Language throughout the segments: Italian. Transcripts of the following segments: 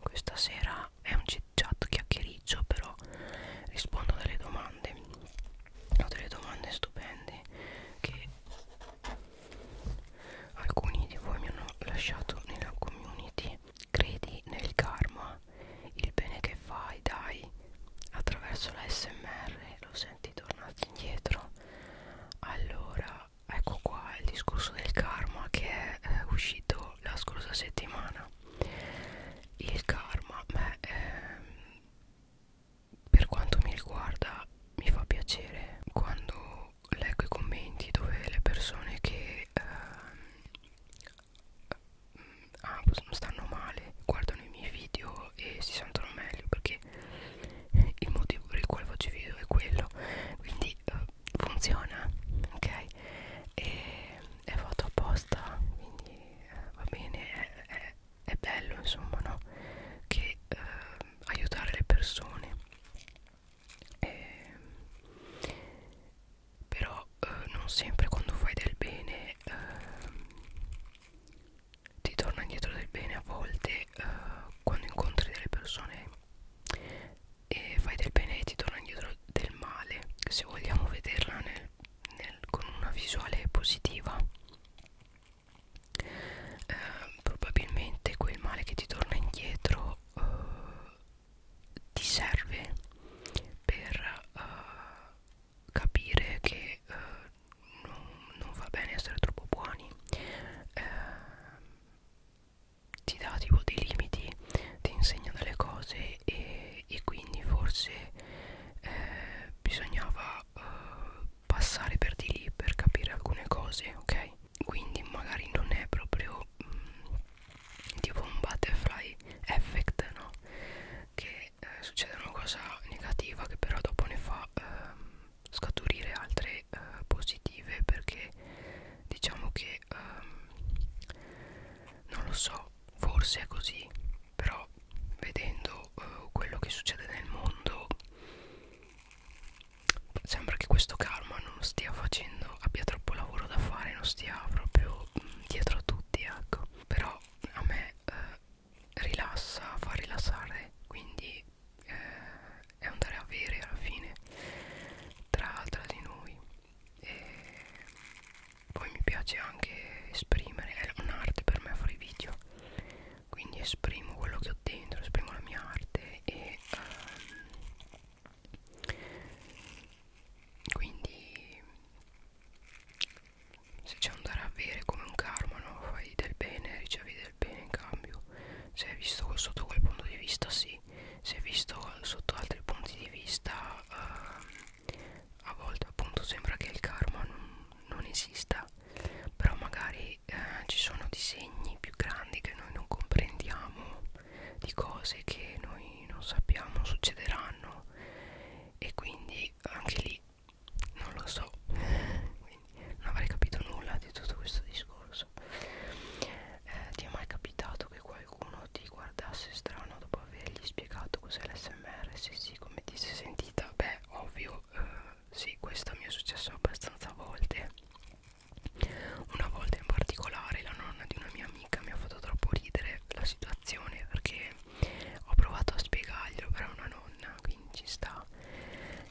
questa sera è un chit chat chiacchiericcio, però rispondo a delle domande. Ho delle domande stupende che alcuni di voi mi hanno lasciato nella community. Credi nel karma, il bene che fai, dai, attraverso la SMR, lo senti tornarti indietro. Allora, ecco qua il discorso del karma che è eh, uscito la scorsa settimana il karma beh, ehm, per quanto mi riguarda mi fa piacere quando leggo i commenti dove le persone che ehm, ah, stanno male guardano i miei video e si sentono meglio perché quindi il motivo per il quale faccio i video è quello quindi eh, funziona ok e è fatto apposta quindi eh, va bene è, è, è bello insomma no che eh, aiutare le persone eh, però eh, non sempre quando fai del bene eh, ti torna indietro del bene a volte che eh, quando incontri delle persone e fai del bene e ti torna indietro del male se vogliamo vederla nel, nel, con una visuale positiva eh, probabilmente quel male che ti torna indietro eh, ti serve per eh, capire che eh, non, non va bene essere troppo buoni eh, ti dà tipo dei limiti, ti insegna delle cose e, e quindi forse eh, bisognava eh, passare per di lì per capire alcune cose, ok? Quindi magari non è proprio mh, mm, tipo un butterfly effect, no? Che eh, succede una cosa negativa che però dopo ne fa... Eh, scaturire altre eh, positive perché diciamo che ehm, non lo so forse è così però vedendo eh, quello che succede nel mondo sembra che questo karma non stia facendo abbia troppo lavoro da fare non stia proprio mh, mm, dietro a tutti ecco però a me eh, rilassa fa rilassare quindi eh, è andare a avere alla fine tra, tra di noi e poi mi piace anche esprimere è un'arte per me fare video quindi esprimo quello che ho dentro esprimo la mia arte e um, quindi se c'è andare a avere come un karma no? fai del bene ricevi del bene in cambio se è visto sotto quel punto di vista sì se è visto sotto altri punti di vista uh, a volte appunto sembra che il karma non, non esista però magari uh, ci sono disegni più grandi che noi non comprendiamo di cose che noi non sappiamo succederanno e quindi anche lì non lo so quindi non avrei capito nulla di tutto questo discorso eh, ti è mai capitato che qualcuno ti guardasse strano dopo avergli spiegato cos'è l'SMR sì sì come ti sei sentita beh ovvio eh, sì questo mi è successo abbastanza volte una volta in particolare la nonna di una mia amica mi ha fatto troppo ridere la situazione perché ho provato a spiegarglielo però è una nonna quindi ci sta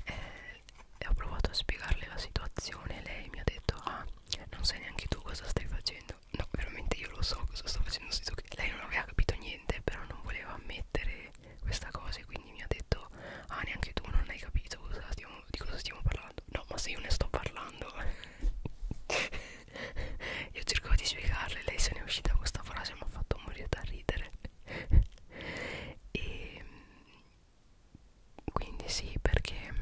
eh, e ho provato a spiegarle la situazione e lei mi ha detto ah non sai neanche tu cosa stai facendo no veramente io lo so cosa sto facendo nel senso che lei non aveva capito niente però non voleva ammettere questa cosa e quindi mi ha detto ah neanche tu non hai capito cosa stiamo, di cosa stiamo parlando no ma se io ne sto parlando io cercavo di spiegarle lei se ne è uscita con questa frase mi ha fatto morire da ridere e ehm, quindi sì perché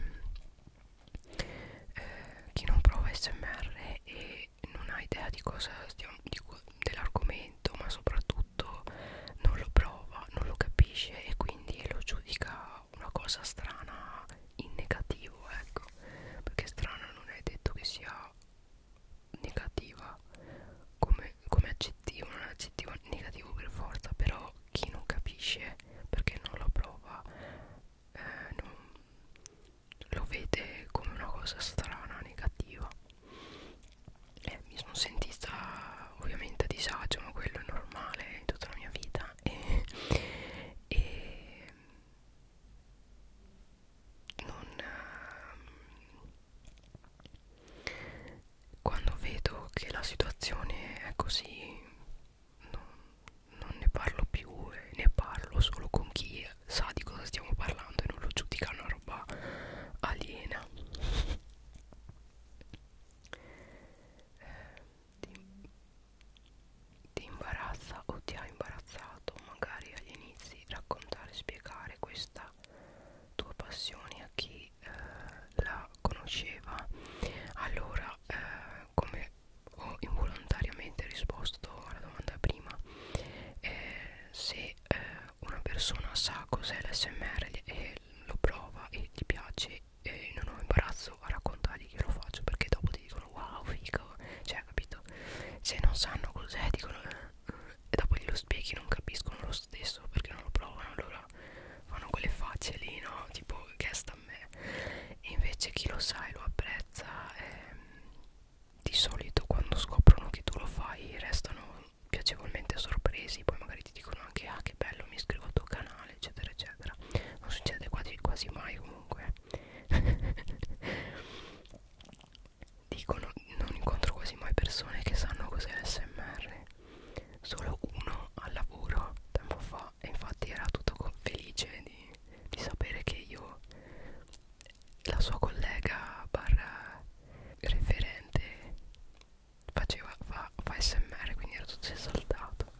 eh, chi non prova smr e non ha idea di cosa stiamo di, dell'argomento ma soprattutto non lo prova non lo capisce e quindi lo giudica una cosa strana in negativo ecco perché strana non è detto che sia negativa come, come aggettivo non è un aggettivo negativo per forza però occhi non capisce perché non lo prova eh, non lo vede come una cosa strana negativa eh, mi sono sentita ovviamente a disagio ma quello è normale in tutta la mia vita e, e non, ehm, quando vedo che la situazione è così non, non ne parlo più e ne parlo solo con chi sa di cosa stiamo parlando e non lo giudica una roba aliena eh, ti, ti imbarazza o ti ha imbarazzato magari agli inizi raccontare e spiegare questa tua passione a chi che eh, la conosceva allora eh, come ho involontariamente risposto alla domanda prima eh, se eh, una persona sa cos'è l'SMR e lo prova e ti piace e non ho imbarazzo a raccontargli che lo faccio perché dopo ti dicono wow figo cioè capito se non sanno cos'è dicono eh, eh, e dopo glielo spieghi non capiscono lo stesso perché non lo provano allora fanno quelle facce lì no tipo che sta a me e invece chi lo sa e lo apprezza ehm, di solito quando scoprono che tu lo fai restano piacevolmente sorpresi poi magari ti dicono anche ah che bello mi iscrivo al tuo canale eccetera eccetera non succede quasi, quasi mai comunque dicono non incontro quasi mai persone che sanno cos'è l'SMR solo uno al lavoro tempo fa e infatti era tutto felice di, di sapere che io la sua collega barra referente faceva fa, fa smr quindi era tutto esaltato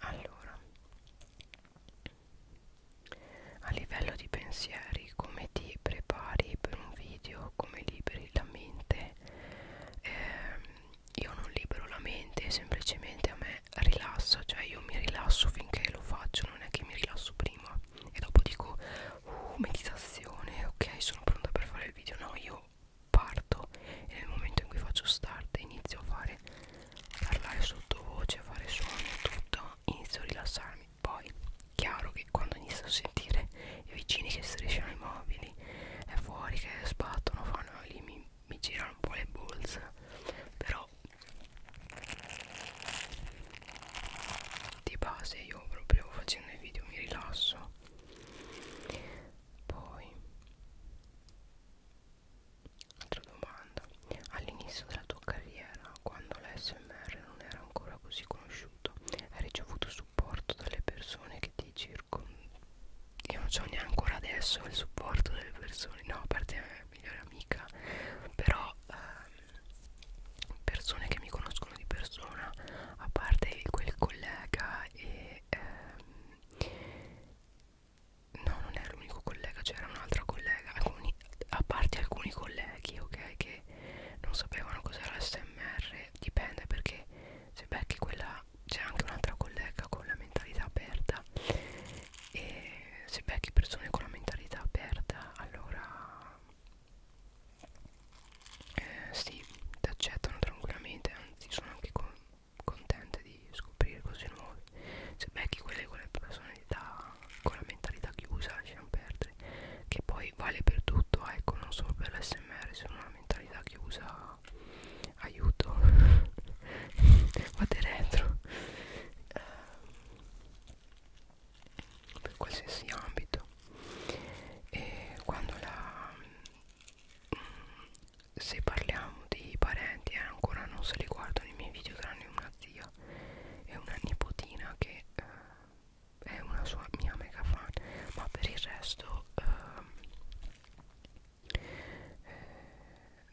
allora a livello di pensieri come ti prepari per un video come liberi la mente ehm, io non libero la mente semplicemente a me rilassa cioè io mi rilasso finché lo faccio non è che mi rilasso prima e dopo dico uh, meditazione ok sono pronta per fare il video no io parto e nel momento in cui faccio start inizio a fare a parlare sottovoce a fare suoni e tutto inizio a rilassarmi poi chiaro che quando inizio a sentire cose i vicini che strisciano i mobili e fuori che sbattono fanno lì mi, mi girano un po' le bolse però di base io proprio facendo i video mi rilasso poi altra domanda all'inizio della tua carriera quando l'SMR non era ancora così conosciuto hai ricevuto supporto dalle persone che ti girano circo io non so neanche ancora adesso il supporto delle persone no a parte la migliore amica però ehm, persone che mi conoscono di persona a parte quel collega e ehm, no non è l'unico collega c'era un'altra collega alcuni, a parte alcuni colleghi ok che non sapevano cos'era l'SMR dipende perché se becchi quella c'è anche un'altra collega con la mentalità aperta e se becchi persone con la mentalità aperta allora eh, sì, ti accettano tranquillamente anzi sono anche con, contente di scoprire cose nuove se becchi quelle con le personalità con la mentalità chiusa lasciamo perdere che poi vale per tutto ecco non solo per l'SMR se una mentalità chiusa no aiuto vado retro eh, per qualsiasi ambito e quando la mm, se parliamo di parenti eh, ancora non se li guardano i miei video tranne una zia e una nipotina che eh, è una sua mia mega fan ma per il resto eh, eh,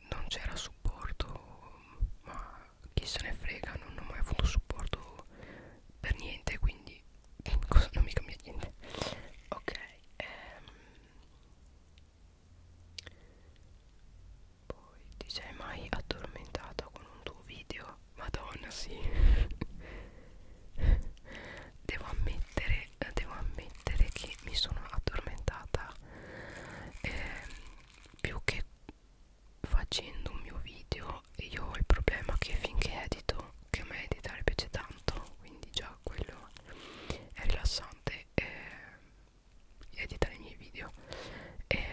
non c'era supporto ma chi se ne frega non ho mai avuto supporto per niente quindi cosa non mi cambia niente ok ehm. poi ti sei mai addormentata con un tuo video madonna sì devo ammettere devo ammettere che mi sono addormentata eh, più che facendo un mio video io ho il problema che finché edito che a me editare piace tanto quindi già quello è rilassante eh, editare i miei video eh,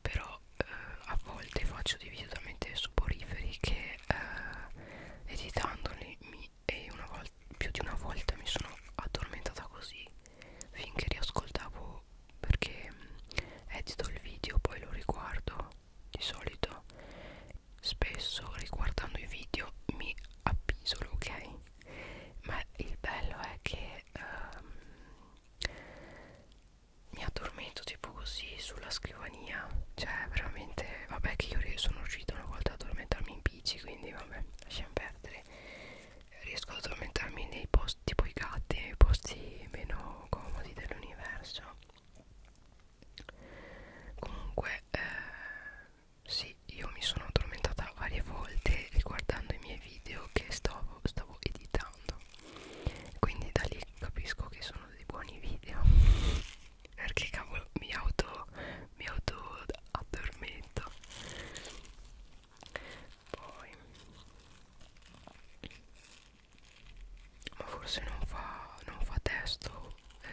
però eh, a volte faccio dei video talmente suboriferi che eh, editandoli mi, e una volta, più di una volta mi sono addormentata così finché riascoltavo perché mm, edito il video poi lo riguardo di solito spesso riguardando i video mi appisolo ok ma il bello è che um, mi addormento tipo così sulla scrivania cioè veramente vabbè che io sono riuscita una volta ad addormentarmi in bici quindi vabbè lasciamo perdere riesco ad addormentarmi nei posti tipo i gatti nei posti meno comodi dell'universo comunque eh, sì io mi sono addormentata varie volte riguardando i miei video che stavo, stavo editando quindi da lì capisco che sono dei buoni video perché cavolo mi auto mi auto addormento poi ma forse non fa non fa testo eh,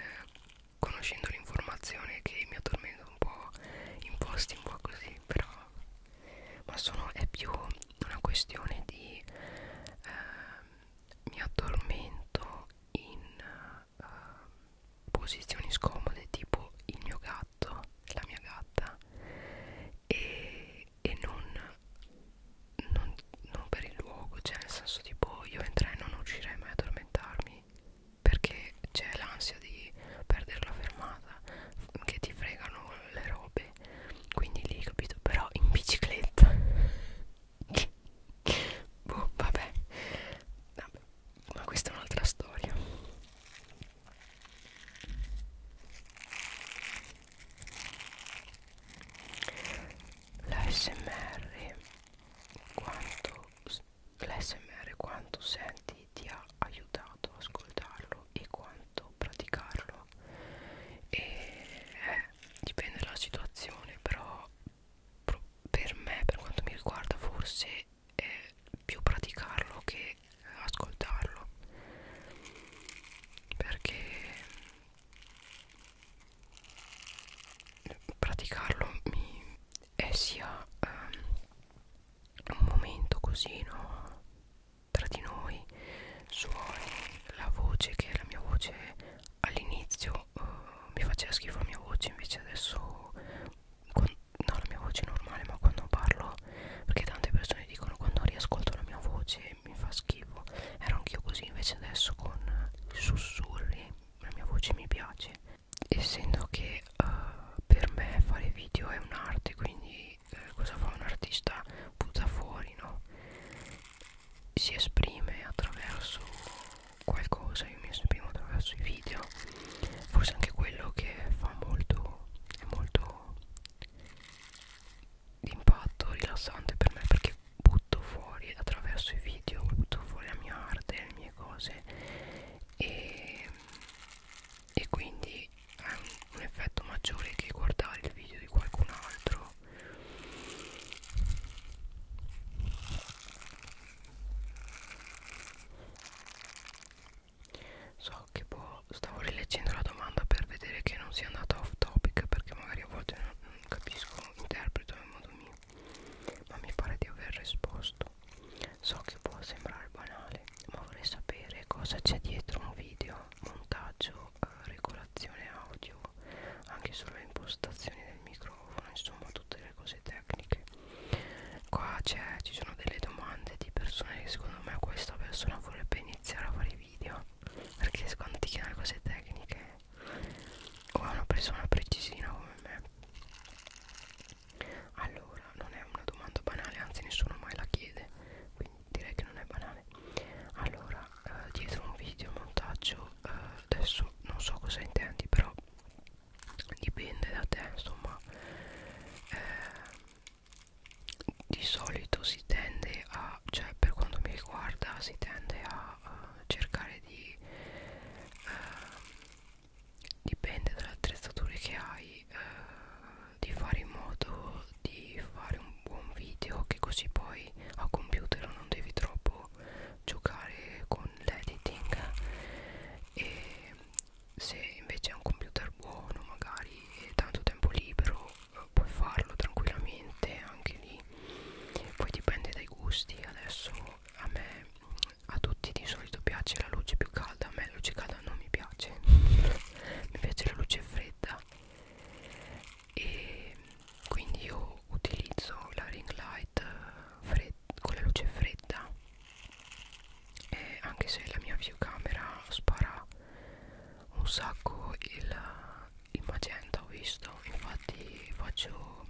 conoscendo l'informazione che mi addormento un po' in posti un po' così però ma sono è più una questione di eh, mi addormento in uh, posizioni scomode tipo il mio gatto, la mia gatta e, e non, non, non per il luogo, cioè nel senso tipo io entrerei e non riuscirei mai ad addormentarmi perché c'è l'ansia di perdere la fermata che ti fregano le robe quindi lì capito però in bicicletta boh, vabbè. vabbè ma questa è un'altra storia l'ASMR quanto l'ASMR quanto senti ti ha aiutato a ascoltarlo e quanto praticarlo e è eh, dipende dalla situazione però per me per quanto mi riguarda forse è più praticarlo che ascoltarlo perché praticarlo mi è sia um, un momento così no tra di noi suoni la voce che è la mia voce all'inizio eh, mi faceva schifo la mia voce invece adesso con, no la mia voce è normale ma quando parlo perché tante persone dicono quando riascolto la mia voce mi fa schifo ero anch'io così invece adesso con sussurri la mia voce mi piace essendo che uh, per me fare video è un'arte quindi eh, cosa fa un artista butta fuori no si esprime attraverso qualcosa, io mi esprimo attraverso i video, forse anche quello che fa molto, è molto d'impatto, rilassante per me perché butto fuori attraverso i video, butto fuori la mia arte, le mie cose e, e quindi ha un, un effetto maggiore che guardare il video di qualcun altro So che può, boh, stavo rileggendo la domanda per vedere che non sia andata off topic perché magari a volte non, non capisco, interpreto in modo mio, ma mi pare di aver risposto. So che può sembrare banale, ma vorrei sapere cosa c'è dietro un video, montaggio eh, regolazione audio anche solo le impostazioni del microfono insomma tutte le cose tecniche qua c'è ci sono delle domande di persone che secondo me questa persona vorrebbe iniziare a fare video perché secondo ti chiede cose tecniche o è una persona precisina come me allora non è una domanda banale anzi nessuno mai la chiede quindi direi che non è banale allora eh, dietro un video montaggio eh, adesso non so cosa intendi però dipende da te insomma eh, di solito si tende a cioè per quanto mi riguarda si tende a, a cercare di eh, dipende dalle attrezzature che hai eh, di fare in modo di fare un buon video che così poi a computer non devi troppo posso giocare con l'editing e se invece è un computer buono magari e tanto tempo libero eh, puoi farlo tranquillamente anche lì poi dipende dai gusti adesso a me a tutti di solito piace la luce più calda a me la luce calda non mi piace mi piace la luce fredda e quindi io utilizzo la ring light eh, con la luce fredda e anche se la mia videocamera spara un sacco il, il magenta ho visto infatti faccio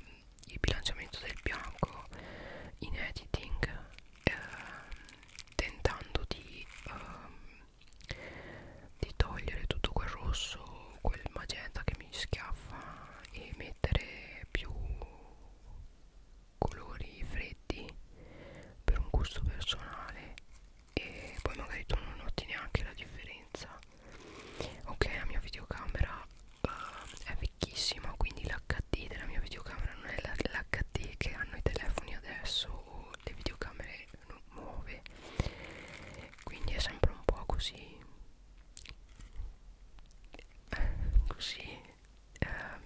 il bilanciamento del bianco in editing eh, tentando di eh, di togliere tutto quel rosso quel magenta che mi schiaffa e mettere più colori freddi per un gusto personale e poi magari tu non noti neanche la differenza ok la mia videocamera uh, è vecchissima quindi l'HD della mia videocamera non è l'HD che hanno i telefoni adesso o le videocamere nuove quindi è sempre un po' così così ehm,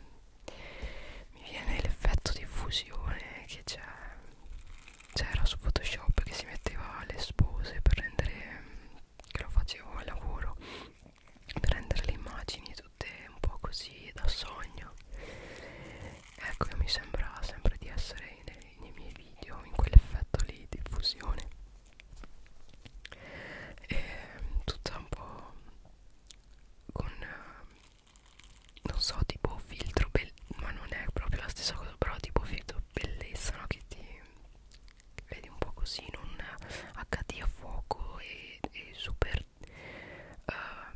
mi viene l'effetto di fusione che c'è c'era su photoshop che si metteva le spose per rendere che lo facevo al lavoro per rendere le immagini tutte un po' così da sogno ecco io mi sembra sempre di essere nel nei miei video in quell'effetto lì di fusione e tutta un po' con non so tipo filtro ma non è proprio la stessa cosa però tipo filtro bellezza no? che ti vedi un po' così non HD a fuoco e, e super uh,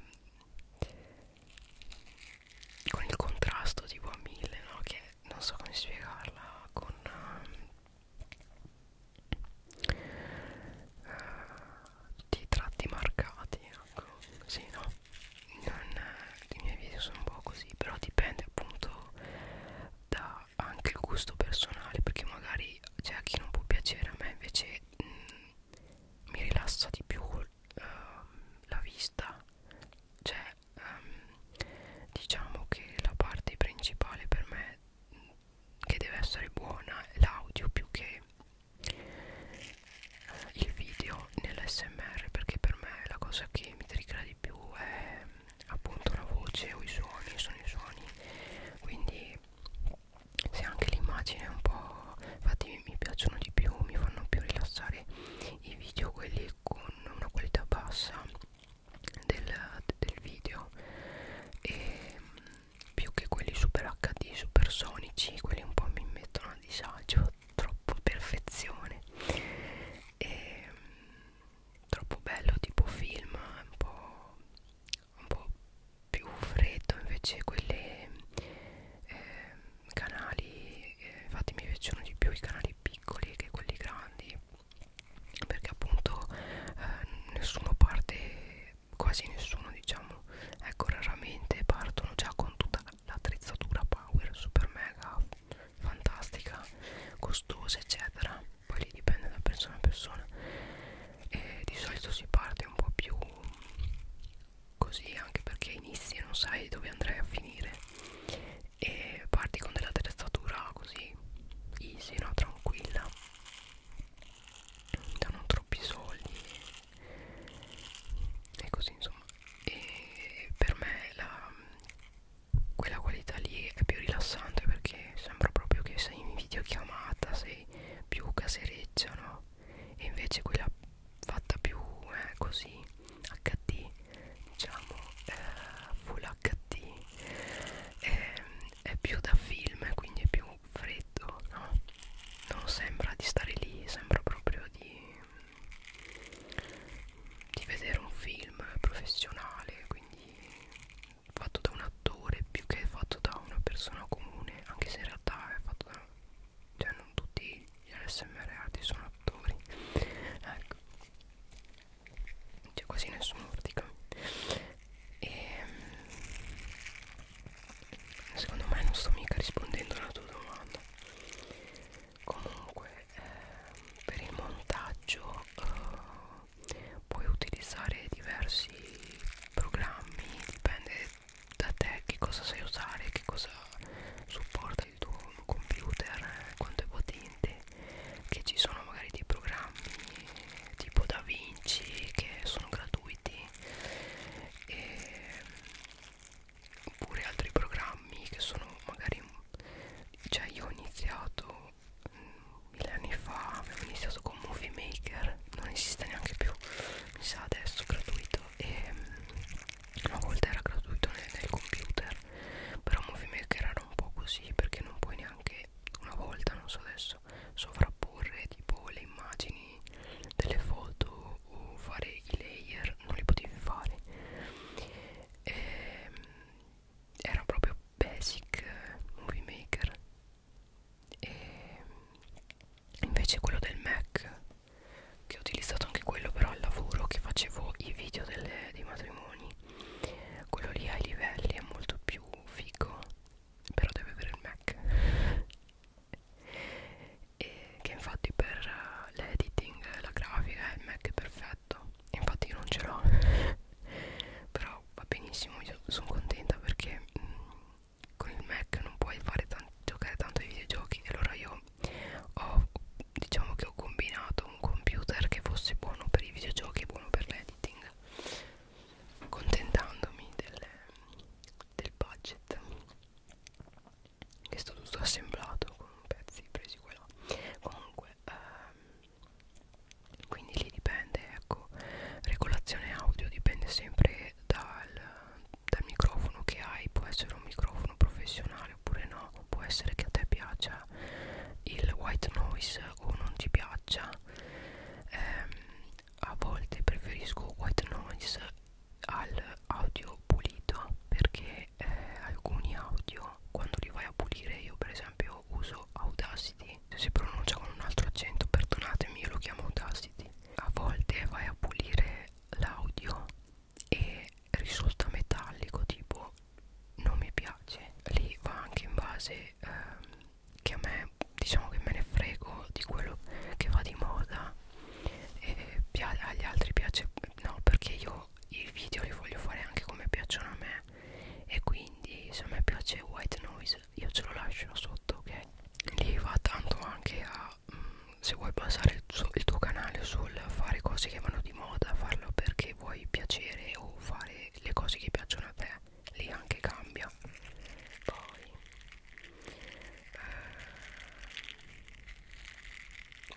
con il contrasto tipo a mille no? che non so come spiegarla con uh, ehm, tutti i tratti marcati ecco sì no non, eh, i miei video sono un po' così però dipende appunto da anche il gusto personale perché magari c'è a chi non può piacere a me invece mh, mm, mi rilassa di più uh, la vista cioè um, diciamo che la parte principale per me che deve essere buona è l'audio più che eh, il video nell'SMR perché per me la cosa che mi triggera di più è ehm, appunto la voce o i suoni, sono i suoni quindi se anche l'immagine è un po' infatti mi piacciono di più, mi fanno più rilassare i video quelli con una qualità bassa del, del video e mm, più che quelli super HD supersonici quelli un po' mi mettono a disagio troppo perfezione e mm, troppo bello tipo film un po', un po più freddo invece quelli eh, canali eh, infatti mi piacciono di più i canali piccoli che quelli grandi perché appunto eh, nessuno parte quasi nessuno diciamo ecco raramente partono già con tutta l'attrezzatura power super mega fantastica costosa eccetera poi lì dipende da persona a persona e di solito si parte un po' più così anche perché inizi e non sai dove andrai a finire fare e parti con della attrezzatura così easy no tranquilla da non troppi soldi e così insomma e per me la, quella qualità lì è più rilassante perché sembra proprio che sei in videochiamata sei più casereccia no e invece quella fatta più eh, così HD diciamo eh, full HD eh, è più da film quindi è più freddo no? non sembra di stare lì sembra proprio di di vedere un film professionale quindi fatto da un attore più che fatto da una persona comune anche se in realtà è fatto da cioè non tutti gli ASMR sono attori ecco c'è quasi nessun urtica e ehm, secondo me non sto mica rispondendo alla tua domanda comunque eh, per il montaggio eh, puoi utilizzare diversi programmi dipende da te che cosa sai usare che cosa supporta riguarda il tuo computer eh, quanto è potente che ci sono magari dei programmi tipo Da Vinci che sono gratuiti e oppure altri programmi che sono magari cioè io ho iniziato mm, mille anni fa avevo iniziato con Movie Maker non esiste neanche più mi sa adesso gratuito e mm, una volta era gratuito nel, nel computer però Movie Maker era un po' così perché non puoi neanche una volta, non so adesso, sovrapporre tipo le immagini delle foto o fare i layer, non li potevi fare. E, ehm, era proprio basic Movie Maker. E ehm, invece quello del Mac che ho utilizzato anche quello però al lavoro che facevo i video delle, dei matrimoni quello lì ai livelli è molto più figo però deve avere il Mac e che infatti per eh, l'editing la grafica il Mac è perfetto infatti io non ce l'ho però va benissimo io sono contenta perché mh, mm, con il Mac non puoi fare giocare tanto ai videogiochi e allora io ho diciamo che ho combinato un computer che fosse buono per i videogiochi e buono per l'editing contentandomi del, del budget che è stato tutto assemblato con pezzi presi qua e là comunque ehm, quindi lì dipende ecco regolazione audio dipende sempre dal, dal microfono che hai può essere un microfono professionale funzionare oppure no può essere che a te piaccia il white noise o non ti piaccia ehm, a volte preferisco white noise al audio pulito perché eh, alcuni audio quando li vai a pulire io per esempio uso Audacity se si pronuncia con un altro accento perdonatemi io lo chiamo Audacity a volte vai a pulire l'audio e risulta metallico tipo non mi piace lì va anche in base ehm, che a me diciamo che me ne frego di quello che va di moda e agli altri piace no perché io i video li voglio fare anche come piacciono a me e quindi se a me piace white noise io ce lo lascio sotto che okay? lì va tanto anche a mh, mm, se vuoi basare il, il tuo canale sul fare cose che vanno di moda farlo perché che vuoi piacere o fare le cose che piacciono a te lì anche cambia poi eh,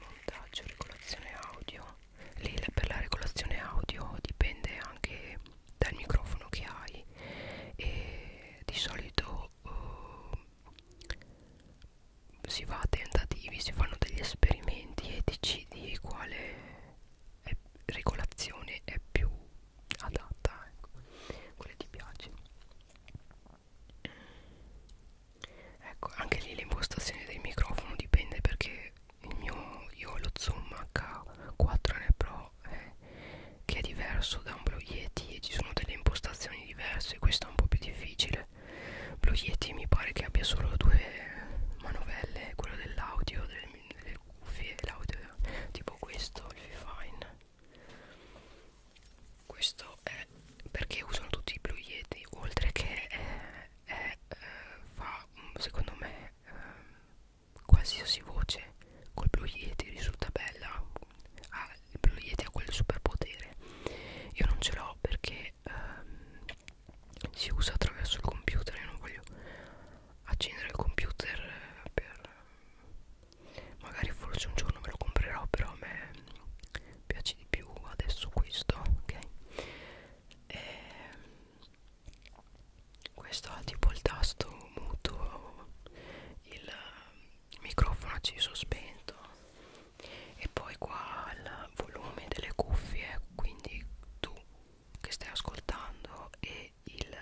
montaggio regolazione audio lì per la regolazione audio dipende anche dal microfono che hai e di solito eh, si va a tentativi, si fanno degli esperimenti e decidi quale è, regolazione è più adatta, ecco, quale ti piace. Ecco, anche lì l'impostazione del microfono dipende perché il mio, io ho lo Zoom H4N Pro eh, che è diverso da un Blue Yeti e ci sono delle impostazioni diverse, questo è un po' più difficile Blue Yeti mi pare che abbia solo due manovelle quello dell'audio delle, delle cuffie l'audio tipo questo il Fifine questo è perché usano tutti i Blue Yeti oltre che è, è, eh, fa mm, secondo me ehm, qualsiasi voce col Blue Yeti risulta bella ah, il Blue Yeti ha quel superpotere io non ce l'ho perché ehm, si usa attraverso il computer io non voglio accendere il computer eh, per magari forse un giorno me lo comprerò però a me piace di più adesso questo ok e ehm, questo ha tipo il tasto muto il microfono acceso spento e poi qua al volume delle cuffie quindi tu che stai ascoltando e il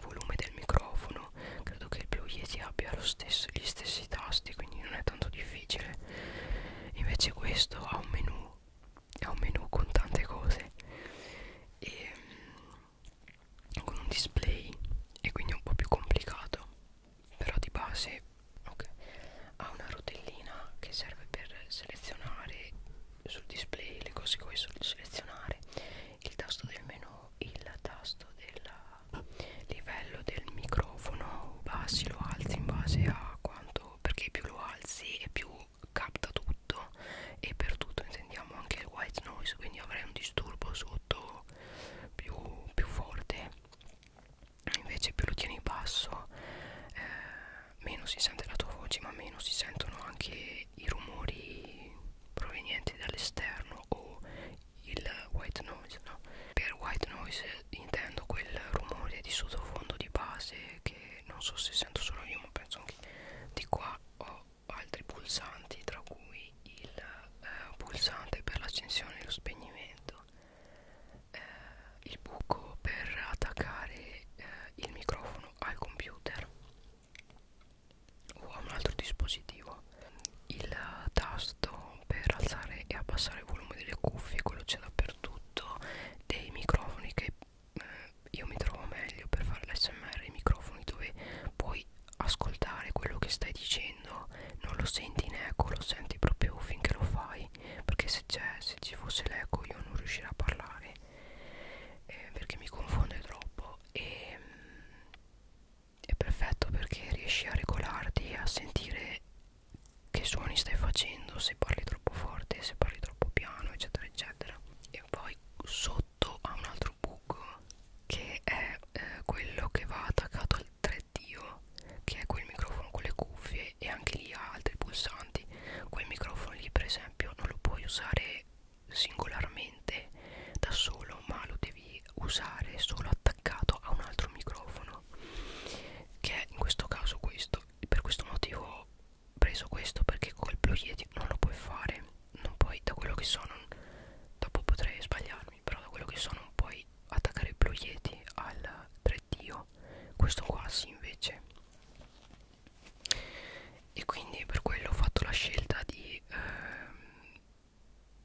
volume del microfono credo che il Blue Yeti abbia lo stesso, gli stessi tasti quindi non è tanto difficile invece questo ha un menu ha un menu con tante cose e mm, con un display e quindi è un po' più complicato però di base ok ha una rotellina che serve per selezionare sul display le cose che vuoi selezionare il tasto del menu il tasto del livello del microfono bassi lo alzi in base a quanto perché più lo alzi e più capta tutto e per tutto intendiamo anche il white noise quindi avrai un disturbo sotto più, più forte invece più lo tieni basso eh, meno si sente la tua voce ma meno si sentono anche i rumori provenienti dall'esterno o il white noise no? per white noise intendo quel rumore di sottofondo di base che non so se sento solo io ma penso anche di qua ho altri pulsanti tra cui il eh, pulsante per l'accensione e lo spegnimento eh, il buco per attaccare eh, il microfono al computer o a un altro dispositivo il tasto per alzare e abbassare il volume delle cuffie quello c'è dappertutto dei microfoni che eh, io mi trovo meglio per fare l'SMR i microfoni dove puoi ascoltare quello che stai dicendo non lo senti in eco lo senti proprio finché lo fai perché se, se ci fosse l'eco io non riuscirei a parlare eh, perché mi confonde troppo e ehm, mh, è perfetto perché riesci a regolarti a sentire che suoni stai facendo se parli troppo forte se parli troppo piano eccetera eccetera e poi sotto ha un altro buco che è eh, quello che va attaccato al 3D che è quel microfono con le cuffie dove e anche lì ha altri pulsanti quel microfono lì per esempio non lo puoi usare singolarmente da solo ma lo devi usare solo attaccato a un altro microfono che è in questo caso questo per questo motivo ho preso questo perché col Blue Yeti non lo puoi fare non puoi da quello che so non, dopo potrei sbagliarmi però da quello che so non puoi attaccare il Blue Yeti al 3 fare Dio questo qua sì invece e quindi per quello ho fatto la scelta di, ehm,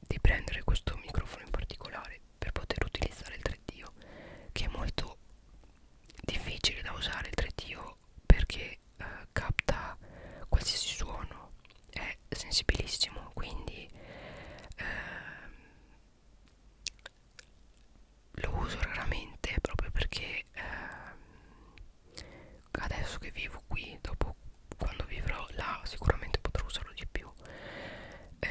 di prendere questo microfono in particolare per poter utilizzare il 3D che è molto difficile da usare il 3D perché eh, capta qualsiasi suono è sensibilissimo quindi ehm, lo uso raramente proprio perché eh, adesso che vivo qui dopo quando vivrò là sicuramente potrò usarlo di più eh,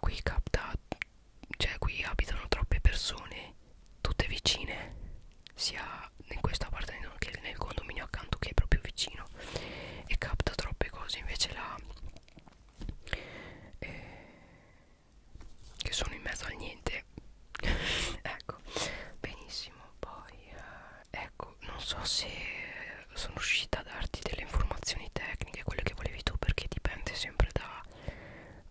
qui capta cioè qui abitano troppe persone tutte vicine sia in questo appartamento che nel condominio accanto che è proprio vicino e capta troppe cose invece là eh, che sono in mezzo al niente ecco benissimo poi eh, ecco non so se sono riuscita a darti delle informazioni tecniche quelle che volevi tu perché dipende sempre da,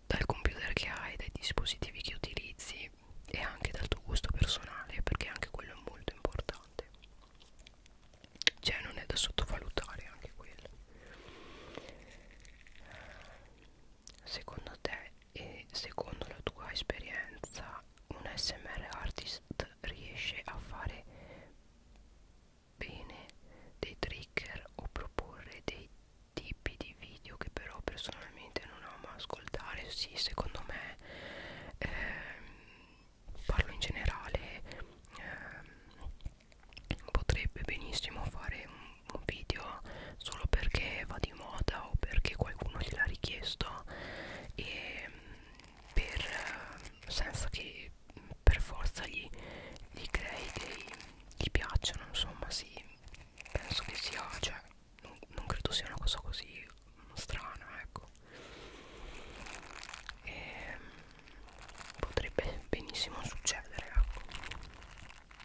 dal computer che hai dai dispositivi che utilizzi e anche dal tuo gusto personale perché anche quello è molto importante cioè non è da sottovalutare anche quello secondo te e secondo la tua esperienza un smr artist riesce a fare bene dei trigger o proporre dei tipi di video che però personalmente non amo ascoltare sì secondo me ehm, parlo in generale ehm, potrebbe benissimo fare un, un video solo perché va di moda o perché qualcuno gliel'ha richiesto e mm, per, eh, senza che mm, per forza gli, gli crei dei gli piacciono insomma sì penso che sia cioè non, non credo sia una cosa così strana ecco e, ehm, potrebbe benissimo succedere ecco.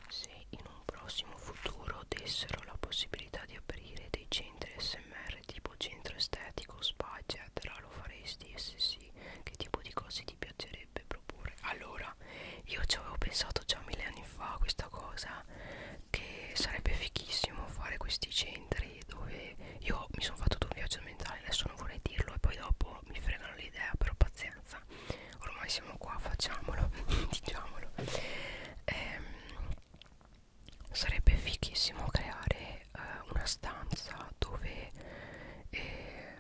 se in un prossimo futuro dessero la possibilità di aprire dei centri smr tipo centro estetico spa eccetera lo faresti e se sì che tipo di cose ti piacerebbe proporre allora io ci avevo pensato già mille anni fa questa cosa che sarebbe fichissimo fare questi centri dove io mi sono fatto un viaggio mentale adesso non vorrei dirlo e poi dopo fregano, mi fregano l'idea, però pazienza, ormai siamo qua, facciamolo, diciamolo. Ehm, sarebbe fichissimo creare eh, una stanza dove eh,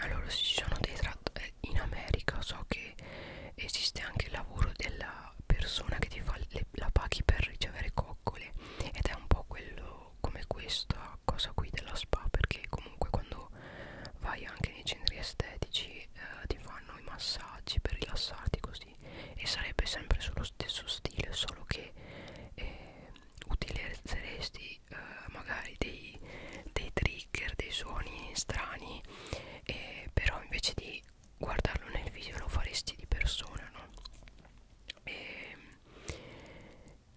allora ci sono dei tratti eh, in America so che esiste anche il lavoro della persona che ti fa le, la paghi per ricevere coccole ed è un po' quello come questo questa cosa qui della spa perché comunque quando vai anche nei centri estetici eh, ti fanno i massaggi per rilassarti così e sarebbe sempre sullo stesso stile solo che eh, utilizzeresti eh, magari dei, dei trigger dei suoni strani eh, però invece di guardarlo nel video lo faresti di persona no? E, ehm,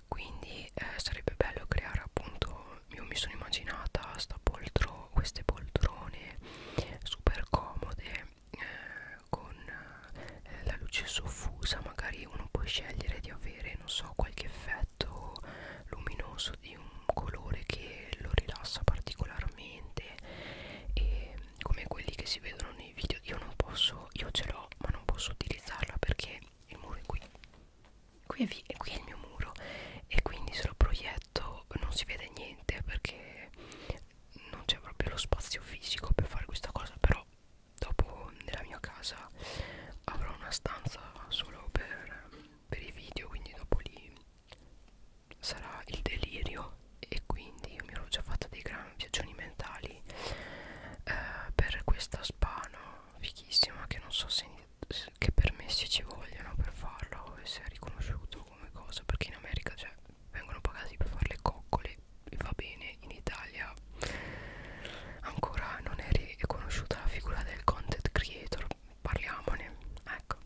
quindi eh, sarebbe bello creare appunto io mi sono immaginata sta poltro, queste poltrone super comode eh, con eh, la luce soffusa magari uno può scegliere di avere non so qualche effetto luminoso di un colore che lo rilassa particolarmente e come quelli che si vedono nei video io non posso io ce l'ho ma non posso utilizzarla perché il muro è qui qui è, vi e qui è il mio muro e quindi se lo proietto non si vede niente perché non c'è proprio lo spazio fisico per fare questa cosa però dopo nella mia casa avrò una stanza solo per, per i video quindi dopo lì sarà il delirio e quindi io mi ero già fatta dei grandi viaggioni mentali eh, per questa spano fichissima che non so se che permessi ci vogliono per farlo e se è riconosciuto come cosa perché in America cioè, vengono pagati per fare le coccole e va bene in Italia ancora non è riconosciuta la figura del content creator parliamone ecco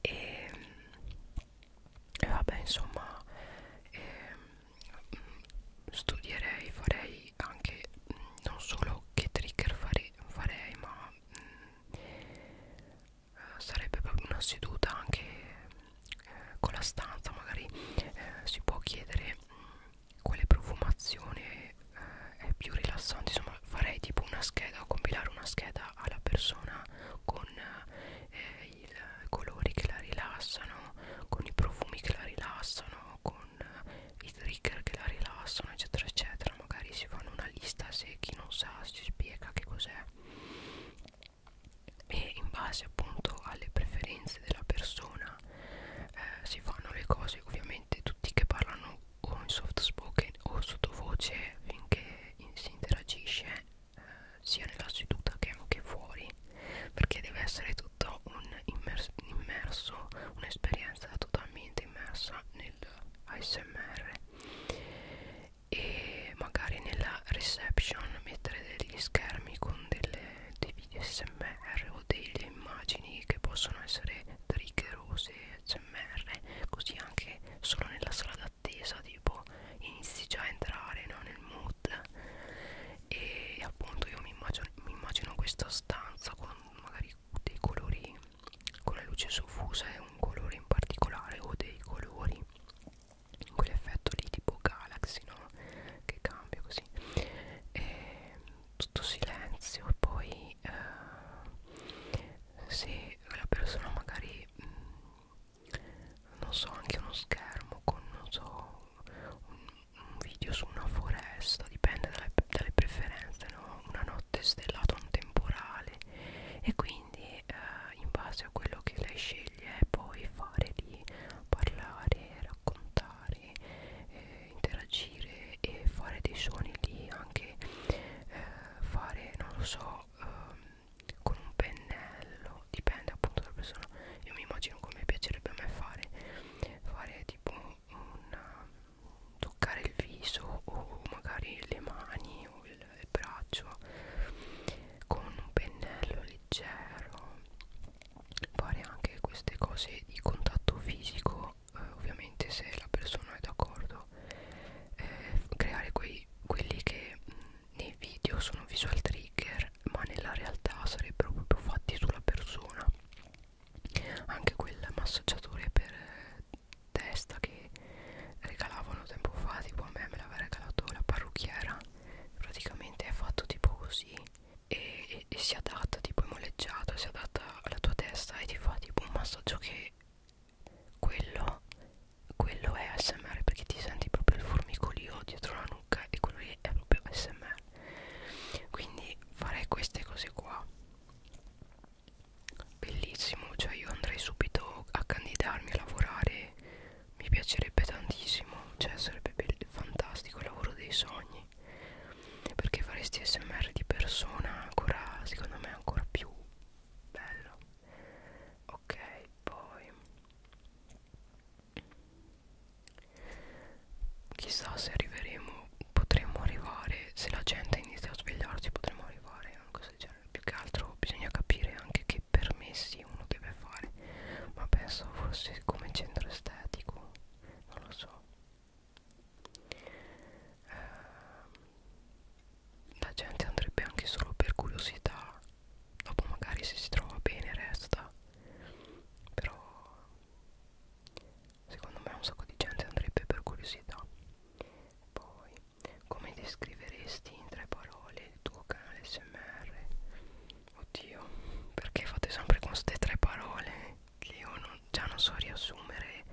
e, ehm, e vabbè insomma e, ehm, studierei, farei anche mh, mm, non solo che trigger fare, farei, ma mh, mm, eh, sarebbe proprio una seduta anche eh, con la stanza, magari eh, si può chiedere mh, mm, quale profumazione eh, è più rilassante, insomma farei tipo una scheda, compilare una scheda alla persona con eh, i colori che la rilassano, con i profumi che la rilassano aiutano con i trigger che la rilassano eccetera eccetera magari si fanno una lista se chi non sa si spiega che cos'è e in base appunto alle preferenze della persona eh, si fanno le cose ovviamente tutti che parlano o in soft spoken o sottovoce finché in, si interagisce eh, sia nella seduta che anche fuori perché deve essere tutto un immers immerso, un'esperienza totalmente immersa nell'ASMR e magari nella reception mettere degli schermi con delle, dei video smr o delle immagini che possono essere triggerose smr così anche solo nella sala d'attesa tipo inizi già a entrare no, nel mood nude e appunto io mi immagino, mi immagino questa stanza con magari dei colori con la luce soffusa e un colore in particolare o dei colori quell'effetto lì tipo galaxy no che cambia così e tutto silenzio e poi eh, se la persona magari mh, mm, non so anche uno schermo con non so un, un video su una foresta dipende dalle, dalle preferenze no? una notte stellata un temporale e quindi eh, in base a quello che lei sceglie poi fare di parlare raccontare eh, interagire e fare dei suoni lì anche eh, fare non lo so eh, con un pennello dipende appunto dalla persona io mi immagino come piacerebbe a me fare fare tipo una, toccare il viso o magari le mani o il, il braccio con un pennello leggero fare anche queste cose di contatto fisico eh, ovviamente se la persona è d'accordo eh, creare quei, quelli che mh, mm, nei video sono visual trigger ma nella realtà sarebbero proprio fatti sulla persona anche quel massaggiatore per eh, testa che regalavano tempo fa tipo a me me l'aveva regalato la parrucchiera praticamente è fatto tipo così e, e, e si adatta tipo è moleggiato si adatta alla tua testa e ti fa tipo un massaggio che quello quello è ASMR perché ti senti proprio il formicolio dietro la nuca e quello lì che è proprio smr quindi farei queste cose qua bellissimo cioè io andrei subito a candidarmi a lavorare mi piacerebbe tantissimo cioè sarebbe fantastico il lavoro dei sogni perché faresti smr di persona ancora secondo me ancora più bello ok poi Chissà se arriveremo, potremmo arrivare, se la gente inizia a svegliarsi potremmo arrivare a cosa del genere. Più che altro bisogna capire anche che permessi uno deve fare, ma penso forse come centro estetico, non lo so. Eh, la gente andrebbe anche solo per curiosità, dopo magari se si trova bene resta, però Secondo me un sacco di gente andrebbe per curiosità. Poi, come descriveresti in tre parole il tuo canale SMR? Oddio, perché fate sempre con queste tre parole? Che io non, già non so riassumere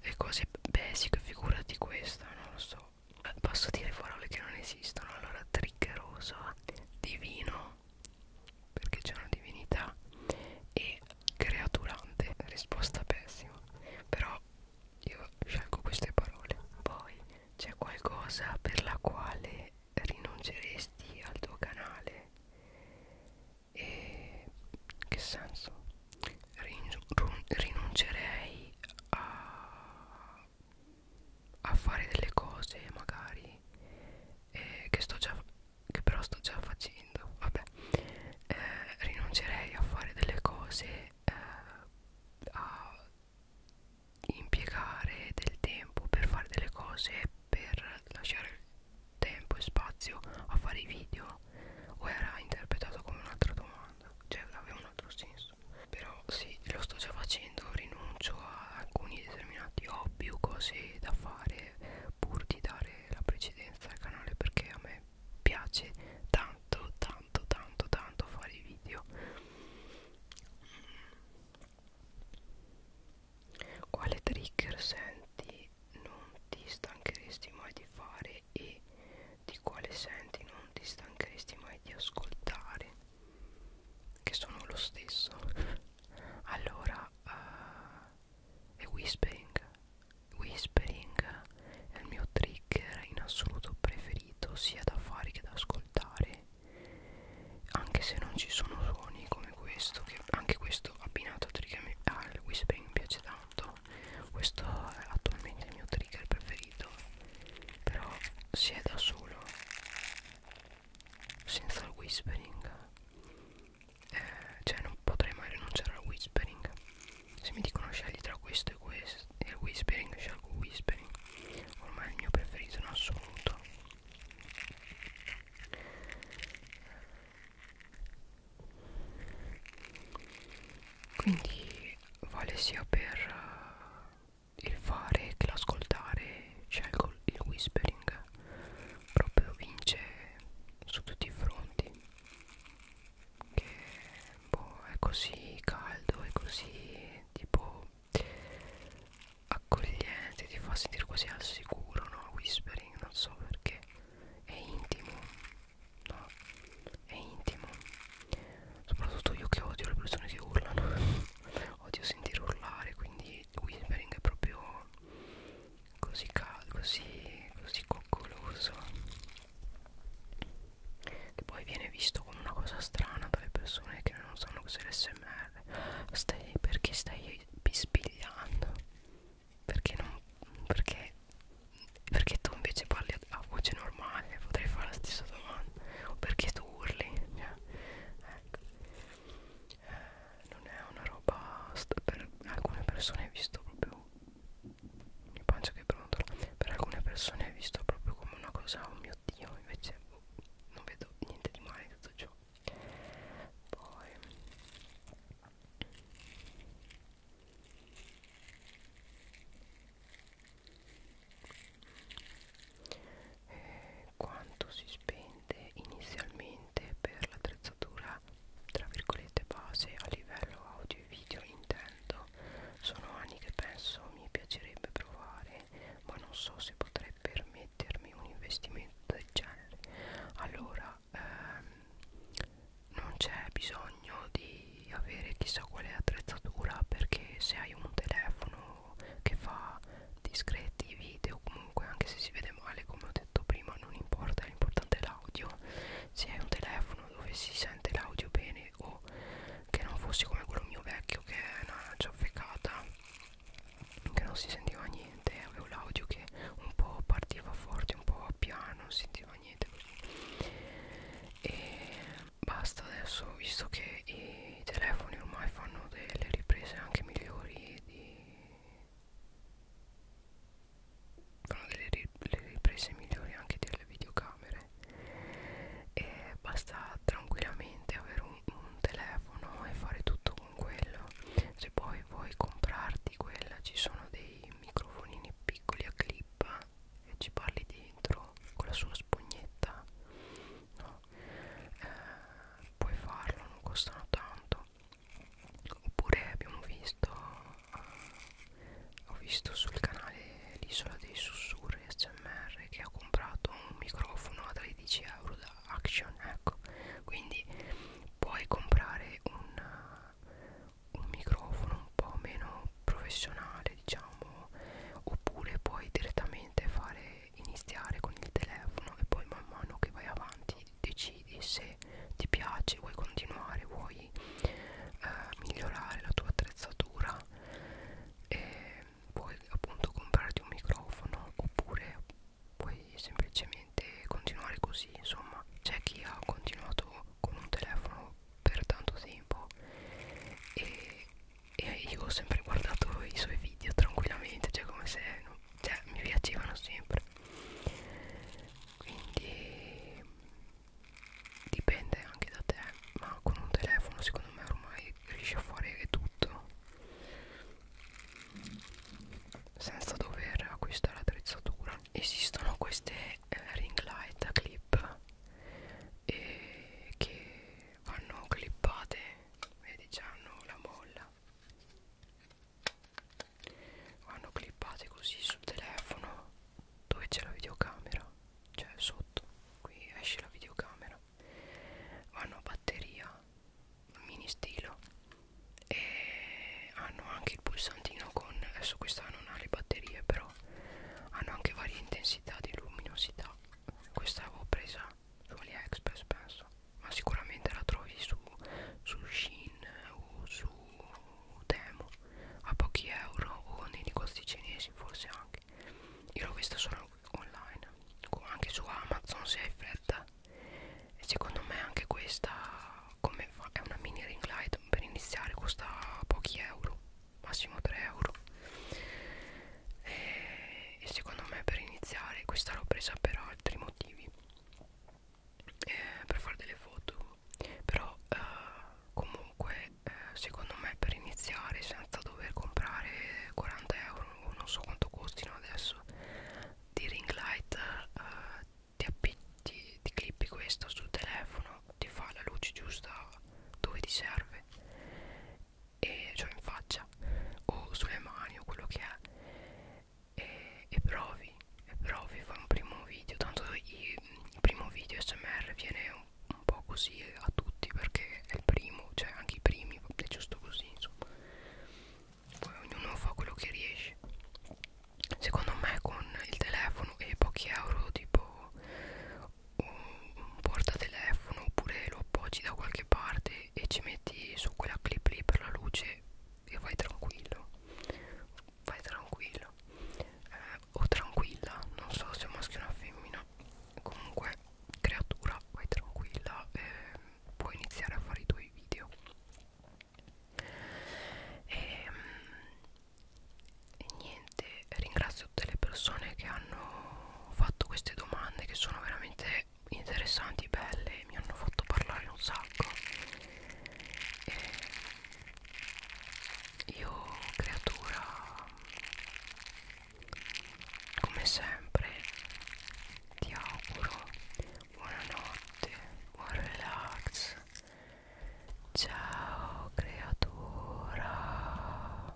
le cose basic, figurati questa, non lo so. Posso dire parole che non esistono, allora triggeroso, divino, perché c'è una divinità e creaturante risposta pessima però io scelgo queste parole poi c'è qualcosa per la quale rinunceresti al tuo canale e che senso rinuncerei a a fare delle cose magari eh, che, sto già, che però sto già facendo vabbè eh, rinuncerei a fare delle cose eh, a impiegare del tempo per fare delle cose per lasciare tempo e spazio a fare i video o era interpretato come un'altra domanda cioè aveva un altro senso però sì lo sto già facendo rinuncio a alcuni determinati hobby ho più cose da fare pur di dare la precedenza al canale perché a me piace tanto tanto tanto tanto fare i video quale trigger senti non ti stancheresti mai di fare e di quale senti non ti stancheresti mai di ascoltare che sono lo stesso allora uh, è whispering whispering è il mio trigger in assoluto preferito sia da fare che da ascoltare anche se non ci sono suoni come questo che anche questo abbinato al ah, whispering mi piace tanto questo è attualmente il mio trigger preferito però se è da solo senza il whispering eh, cioè non potrei mai rinunciare al whispering se mi dicono scegli tra questo e questo e il whispering scelgo il whispering ormai è il mio preferito in assoluto quindi vale sia per uh, il fare che l'ascoltare scelgo il whispering proprio vince su tutti i fronti che boh, è così caldo, è così tipo accogliente, ti fa sentire quasi al sicuro, no? Whispering, non so perché, è intimo, no? È intimo, soprattutto io che odio le persone che urlano, odio sentire urlare, quindi whispering è proprio così caldo, così, così coccoloso che poi viene visto come una cosa strana dalle persone che non sanno cos'è l'SMR stai, perché stai bispigliando perché non perché perché tu invece parli a, a voce normale potrei fare la stessa domanda o perché tu urli cioè, ecco non è una roba per alcune persone è visto proprio mi pancia che pronto per alcune persone è visto proprio come una cosa oh mio dio invece oh, non vedo niente di male in tutto ciò poi e eh, quanto si spende inizialmente per l'attrezzatura tra virgolette base a livello audio e video intendo sono anni che penso mi piacerebbe provare ma non so se potrei permettermi un investimento del genere allora ehm, non c'è bisogno di avere chissà quale attrezzatura perché se hai un telefono che fa discreti video comunque anche se si vede male come ho detto prima non importa l'importante è l'audio se hai un telefono dove si sente l'audio bene o che non fosse come quello mio vecchio che è una ciaffecata che non si sentiva niente avevo l'audio che un po' partiva forte un po' piano non sentiva niente così e basta adesso visto che i telefoni ormai fanno delle riprese anche migliori di fanno delle ri le riprese migliori anche delle videocamere e basta tranquillamente avere un, un telefono e fare tutto con quello se poi vuoi comprarti quella ci sono dei microfonini piccoli a clip e ci parli dentro con la sua spugnetta no eh, puoi farlo non costano tanto oppure abbiamo visto uh, ho visto sul canale l'isola dei sussurri smr che ha comprato un microfono a 13 euro da action ecco quindi puoi comprare un, uh, un microfono un po' meno professionale diciamo oppure puoi direttamente fare iniziare con il telefono e poi man mano che vai avanti decidi se ti piace, vuoi continuare, vuoi eh, migliorare la tua attrezzatura e puoi appunto comprarti un microfono oppure puoi semplicemente continuare così insomma c'è chi ha continuato con un telefono per tanto tempo e, e io ho sempre guardato i suoi video tranquillamente cioè come se non, cioè mi piacevano sempre quindi dipende anche da te ma con un telefono secondo me ormai riesci a fare tutto senza dover acquistare attrezzatura esistono queste eh, ring light a clip e che vanno clippate vedi hanno la molla vanno clippate così sul telefono dove c'è la videocamera cioè sotto qui esce la videocamera vanno a batteria mini stilo e hanno anche il pulsantino con adesso questa non ha le batterie però hanno anche varie intensità di luminosità questa avevo presa su AliExpress penso ma sicuramente la trovi su, su Shein eh, o su Temo a pochi euro o nei negozi cinesi forse anche io l'ho vista solo online o anche su Amazon se hai fretta e secondo me anche questa come fa, è una mini ring light per iniziare costa pochi euro massimo 3 euro e, e secondo me per iniziare questa l'ho presa per altri motivi eh, per fare delle foto però eh, comunque eh, secondo me per iniziare senza dover comprare 40 euro o non so quanto costino adesso di ring light eh, ti, appi, ti, ti clippi questo sul telefono ti fa la luce giusta dove ti serve e cioè in faccia o sulle mani o quello che è e, e provi e provi fai un primo video tanto il, il primo video smr viene un, un po' così a tutti perché è il primo cioè anche i primi è giusto così insomma poi ognuno fa quello che riesce secondo me con il telefono e pochi euro tipo un portatelefono oppure lo appoggi da qualche parte e ci metti su quella clip lì per la luce e vai tranquillo vai tranquillo eh, o tranquilla non so se è maschio o una femmina comunque creatura vai tranquilla eh, puoi iniziare a fare i tuoi video e, ehm, e niente ringrazio tutte le persone che hanno fatto queste domande che sono veramente interessanti, belle, mi hanno fatto parlare un sacco. E io, creatura, come sempre, ti auguro buonanotte, buon relax. Ciao, creatura.